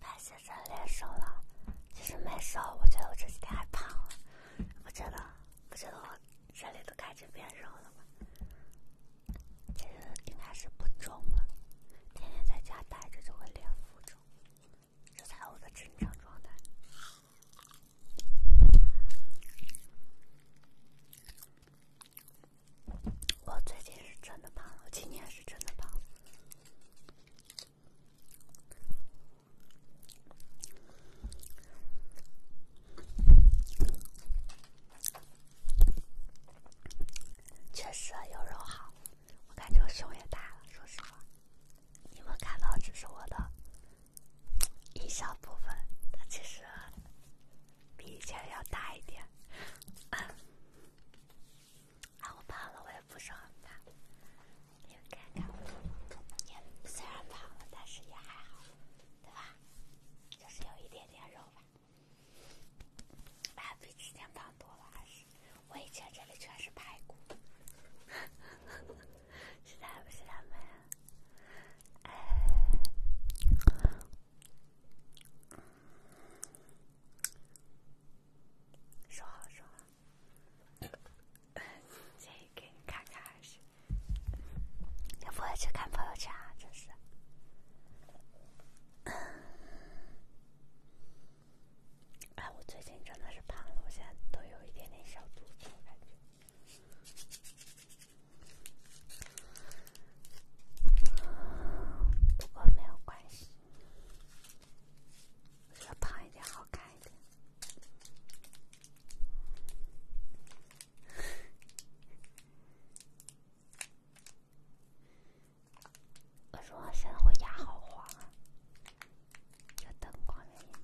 大家真练瘦了？其实没瘦，我觉得我这几天还胖了。不觉得？不觉得我这里都开始变肉了吗？其实应该是不重了。天天在家待着就会练浮肿，这才我的正常状态。我最近是真的胖了，今年是真的胖了。确实有肉好，我感觉我胸也大了。说实话，你们看到只是我的一小部分，它其实比以前要大一点。啊，我胖了，我也不说很胖，你看看，也虽然胖了，但是也还好，对吧？就是有一点点肉吧，啊，比之前胖多了，还是我以前这里全是排骨，知道不知道吗？哎。说说，先给你看看，还是你不会去看朋友圈啊？真是。哎，我最近真的是胖了，我现在都有一点点小肚子，感觉。不过没有关系。要胖一点，好看一点。我说现在我牙好黄啊，这灯光原因。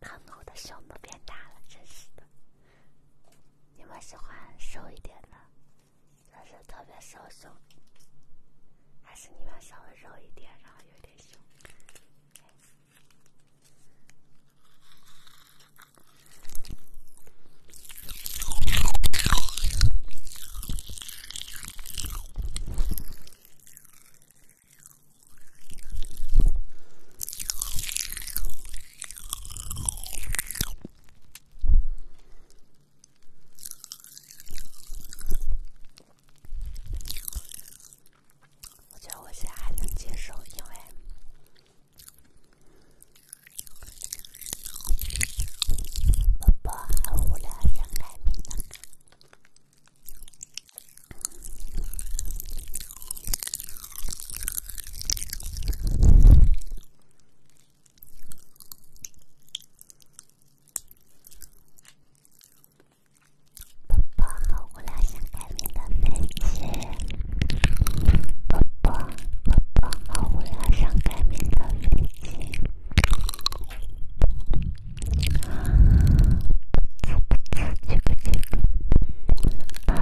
看我的胸都变大了，真是的。你们喜欢瘦一点的，还是特别瘦胸，还是你们稍微肉一点，然后有点胸？我觉得我现在还能接受，因为宝宝很无聊，想来听的。宝宝好无聊，想开明的飞机。宝宝，宝宝好无聊，想开明的飞机。啊，这个，这个，这个。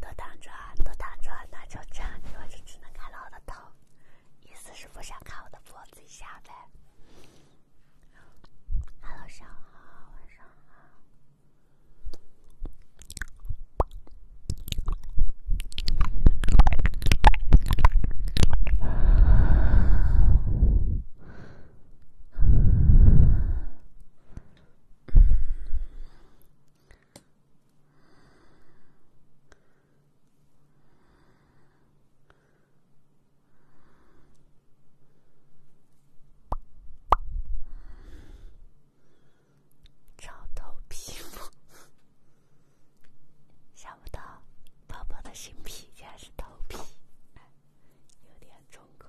多躺着，多躺着，那就这样，你就只能看到我的头，意思是不想看我的，脖子以下呗。Hello，上午好，晚上好。找头皮，想不到宝宝的新皮竟然是头皮，有点成口。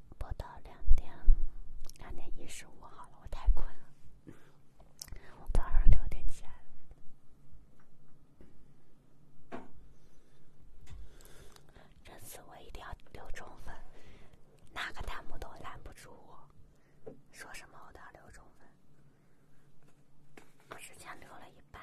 播到两点，两点一十五好了，我太困了，我早上六点起来了。这次我一定要六中分，哪个弹幕都拦不住我。说什么我都要六中分，我之前留了一半。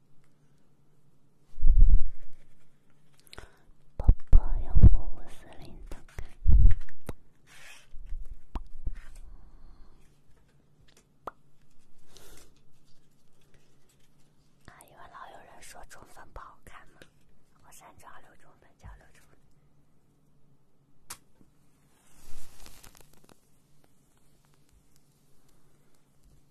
爸爸用过五四零的。啊，因为老有人说中分不好看嘛，我三九二六中的交流处理。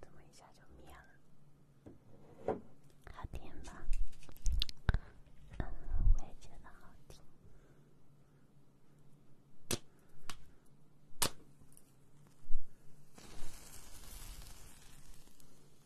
怎么一下就灭了？好听吧？嗯，我也觉得好听。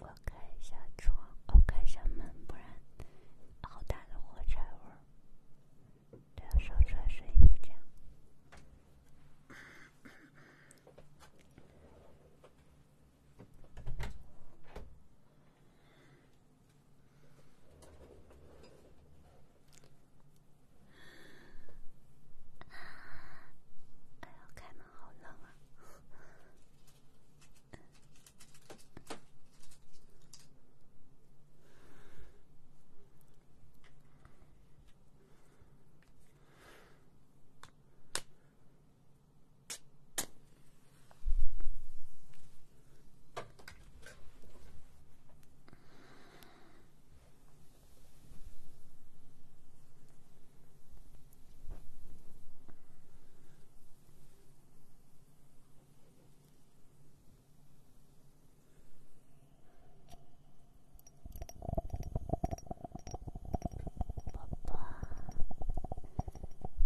我开一下窗，我开一下门，不然好大的火柴味儿。对，烧出来声音就这样。哎，开门，好冷啊！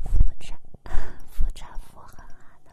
扶着，扶着扶制，好的。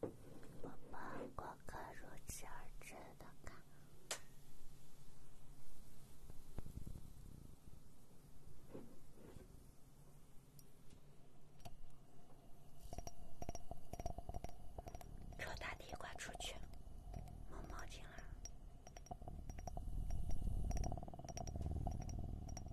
宝宝，过客如期而至的卡。臭大弟，快出去！摸毛巾了。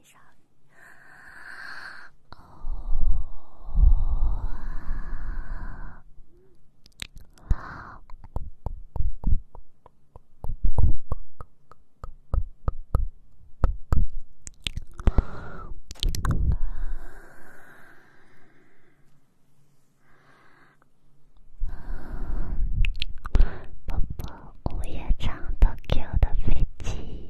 宝宝，午夜唱的《Q 的飞机》。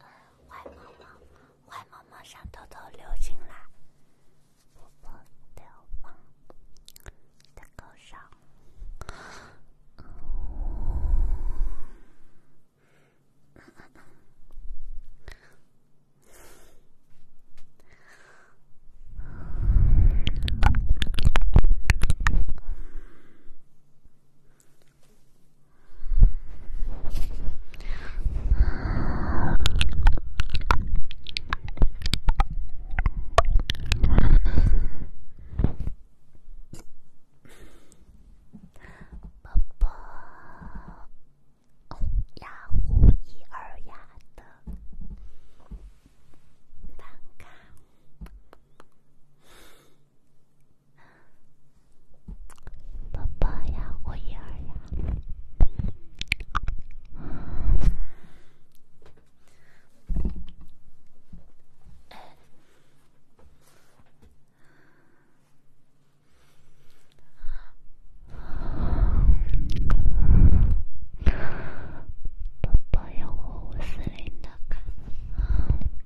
呃，坏猫猫，坏猫猫想偷偷溜进来，宝宝的梦的头上。爸爸，幺五一二幺的三卡。爸爸要我一二呀，爸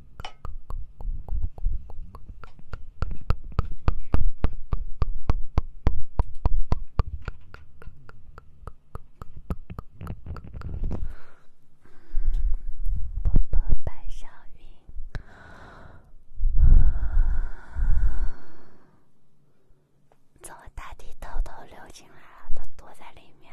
薄薄白云从大地偷偷溜进来了，都躲在里面。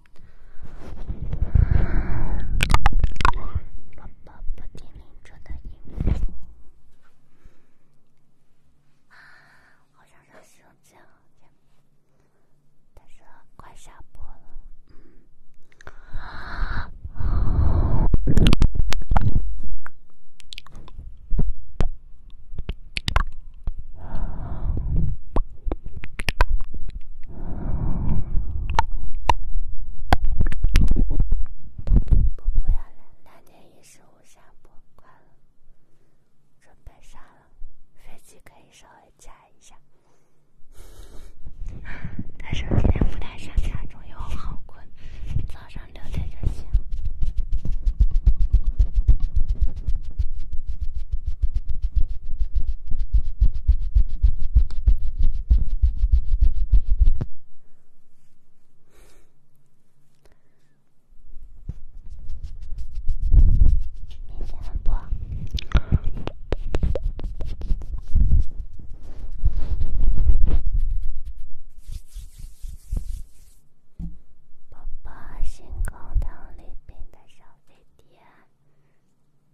宝宝不听邻桌的音乐，好想去洗手间。他说快下播了。嗯。不不要人，拦截也是无效。不，关了，准备上了。飞机可以稍微加一下。但是今天不太想下，中午好困，早上六点就醒。明天播。爸爸，新高头里边的小飞碟。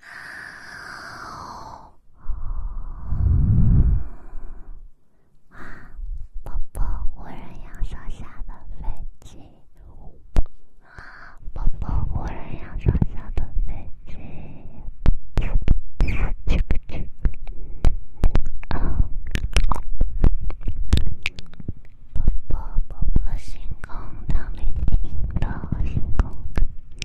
啊！啊，宝宝，无人要坐下的飞机。啊，宝宝，无人要坐下的飞机。啾啾。啊，宝宝，宝宝星空那里听到星空。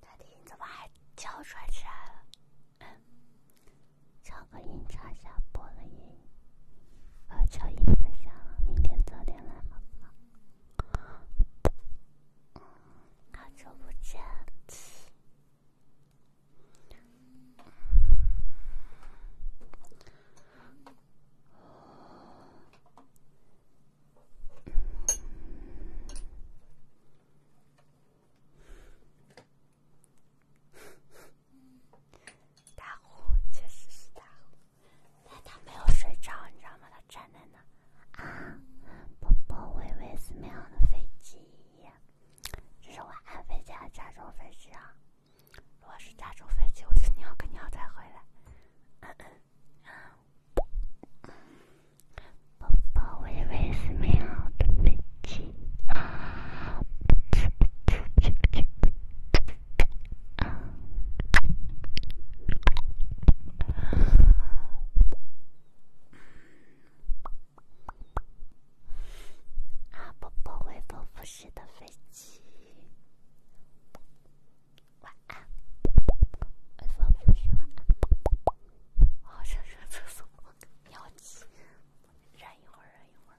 大怎么还叫出来吃来了？超哥，音插下播了音，啊，乔音也下了，明天早点来嘛，爸。好久不见。大虎确实是大虎，但他没有睡着，你知道吗？他站在那。啊，宝宝，我以为是民航的飞机，这是我安飞机还是加州飞机啊？如果是加州飞机，我肯定要再回来。嗯嗯，宝宝，我以为是民航的飞机。啊，宝宝，晚安，飞行的飞机，晚安，晚安，晚安，我上上厕所，尿急，忍一会儿，忍一会儿。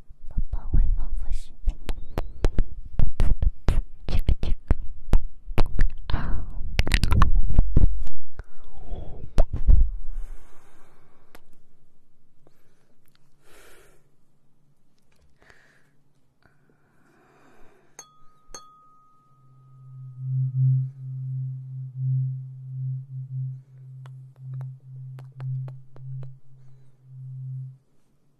宝宝，喂，妈妈。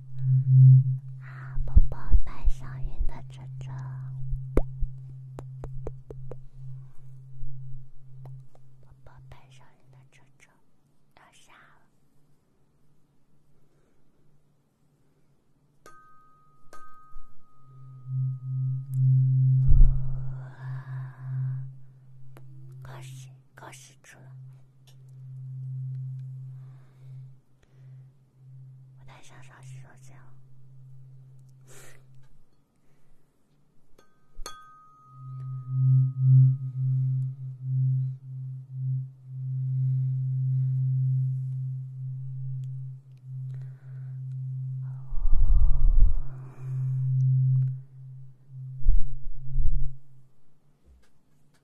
啊！宝宝白上云的车车，宝宝白上云的车车要下了。恭喜恭喜！我太上上洗手间了。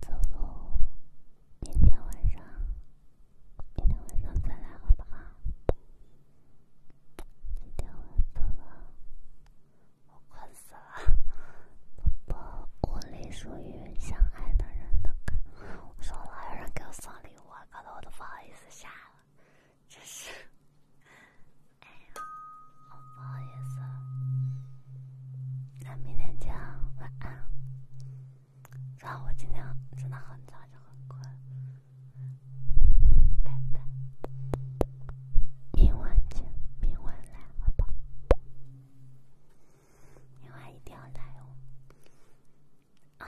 走路。今天晚上，今天晚上再来好不好？今天晚上，我困死了。宝宝，我隶属与相爱的人的歌。我说了，有人给我送礼物，搞得我都不好意思下了，真是，哎，不好意思了。那明天见，晚安。然后我今天真的很早，就很困。拜拜。明晚见，明晚来，好吧。你娃一定要来哦！啊！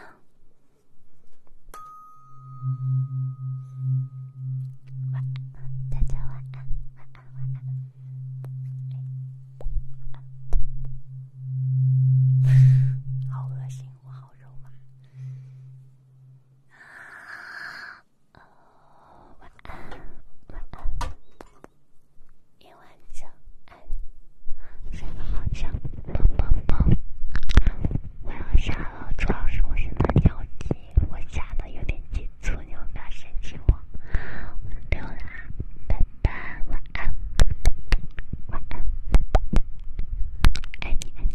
晚安，大家晚安，晚安晚安。好恶心，我好肉麻。晚安，晚安。一万九，爱你，睡个好觉，啵啵啵。我要下了，主要是我上的有点急，我下的有点急促，你有没有嫌弃我？对了，拜拜，晚安，晚安，爱你爱你。